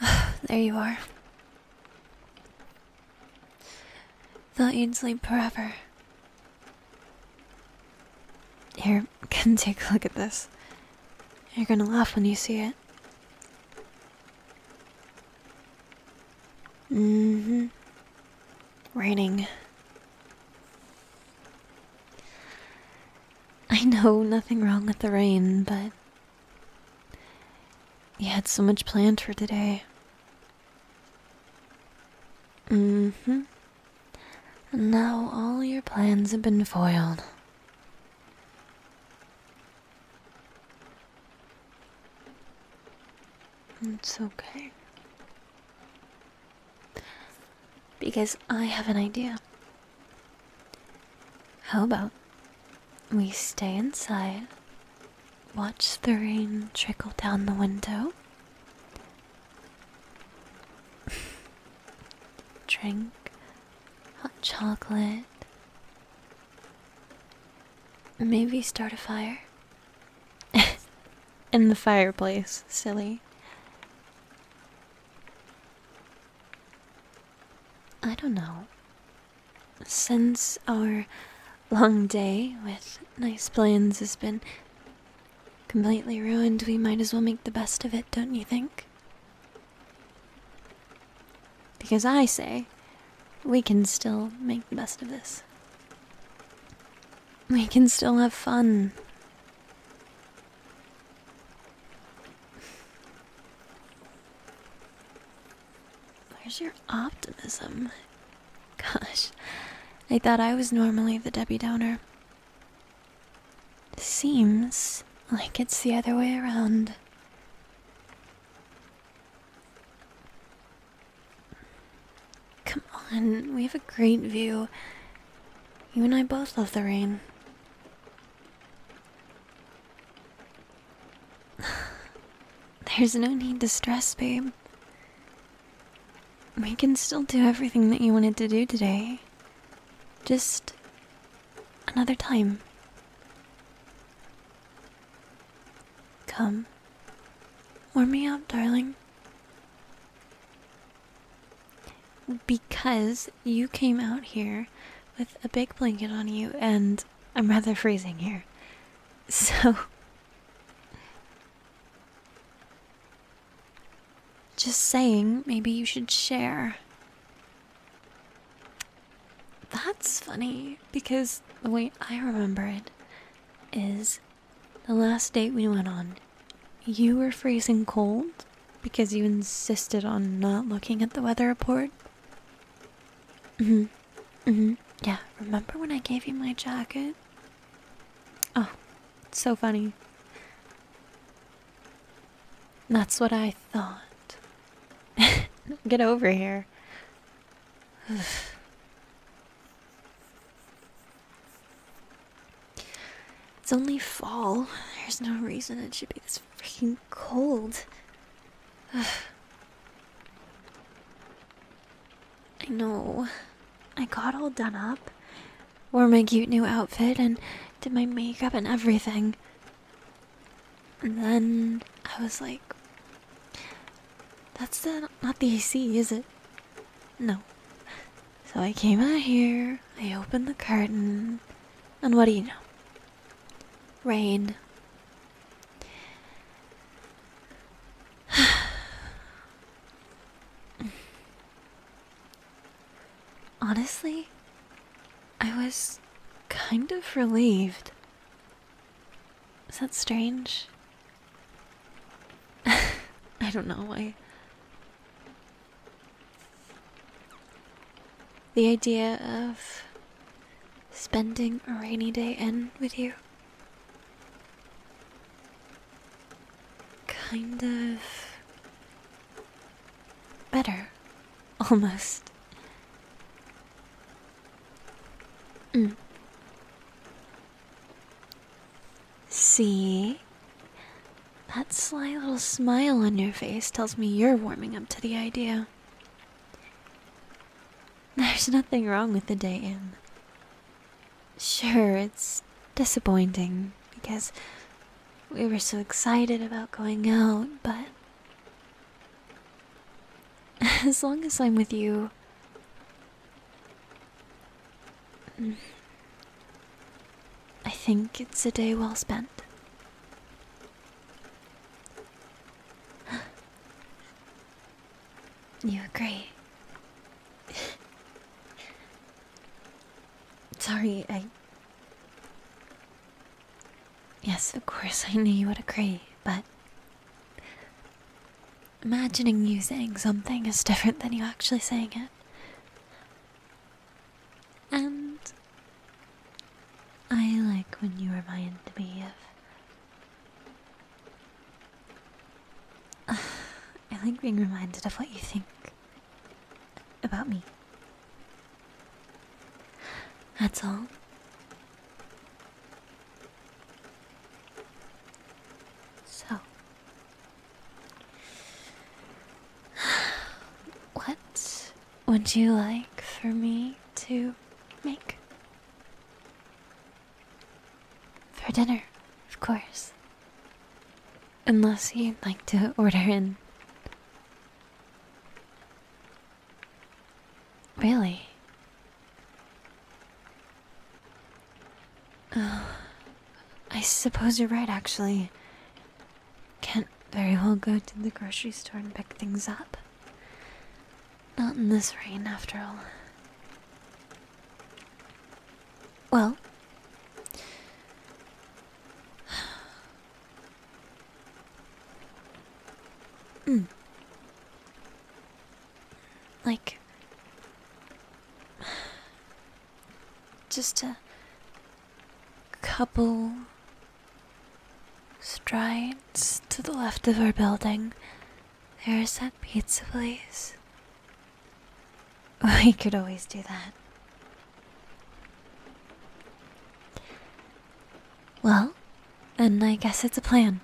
there you are. Thought you'd sleep forever. Here, can take a look at this. You're gonna laugh when you see it. Mm hmm. Raining. I know nothing wrong with the rain, but. You had so much planned for today hmm. now all your plans have been foiled. It's okay. Because I have an idea. How about we stay inside, watch the rain trickle down the window, drink hot chocolate, maybe start a fire. In the fireplace, silly. I don't know. Since our long day with nice plans has been completely ruined, we might as well make the best of it, don't you think? Because I say we can still make the best of this. We can still have fun. Where's your optimism? Gosh, I thought I was normally the Debbie Downer. Seems like it's the other way around. Come on, we have a great view. You and I both love the rain. There's no need to stress, babe. We can still do everything that you wanted to do today. Just another time. Come. Warm me up, darling. Because you came out here with a big blanket on you and I'm rather freezing here. So. Just saying, maybe you should share. That's funny, because the way I remember it is the last date we went on, you were freezing cold because you insisted on not looking at the weather report hmm. hmm. Yeah, remember when I gave you my jacket? Oh, it's so funny. That's what I thought. Get over here. it's only fall. There's no reason it should be this freaking cold. I know. I got all done up, wore my cute new outfit, and did my makeup and everything. And then I was like, that's not the AC, is it? No. So I came out here, I opened the curtain, and what do you know? Rain. Honestly, I was kind of relieved. Is that strange? I don't know. why. The idea of spending a rainy day in with you kind of better, almost. Mm. See? That sly little smile on your face tells me you're warming up to the idea. There's nothing wrong with the day in. Sure, it's disappointing because we were so excited about going out, but as long as I'm with you, I think it's a day well spent. You agree? Sorry, I. Yes, of course, I knew you would agree, but. Imagining you saying something is different than you actually saying it. And I like when you remind me of. I like being reminded of what you think about me. That's all. So, what would you like for me to make? For dinner, of course. Unless you'd like to order in. Really? I suppose you're right, actually. Can't very well go to the grocery store and pick things up. Not in this rain, after all. Well, mm. like, just a couple strides to the left of our building. There is that pizza place. We could always do that. Well, and I guess it's a plan.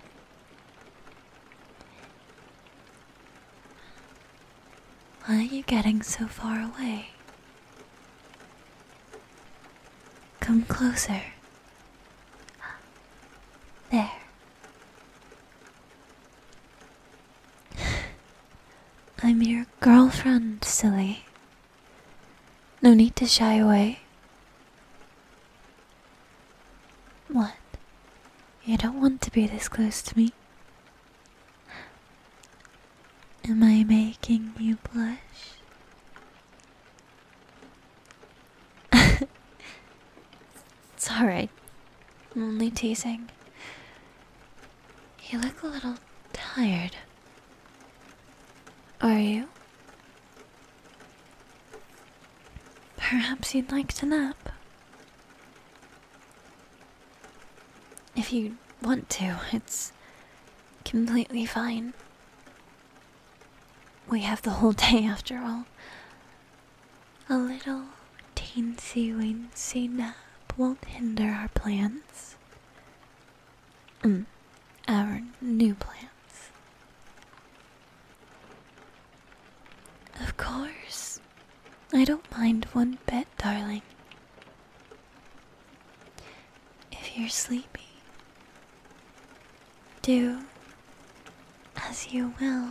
Why are you getting so far away? Come closer. There. I'm your girlfriend, silly. No need to shy away. What? You don't want to be this close to me? Am I making you blush? it's alright. I'm only teasing. You look a little tired. Are you? Perhaps you'd like to nap. If you want to, it's completely fine. We have the whole day after all. A little teensy weensy nap won't hinder our plans. Mm, our new plans. Of course, I don't mind one bit, darling. If you're sleepy, do as you will.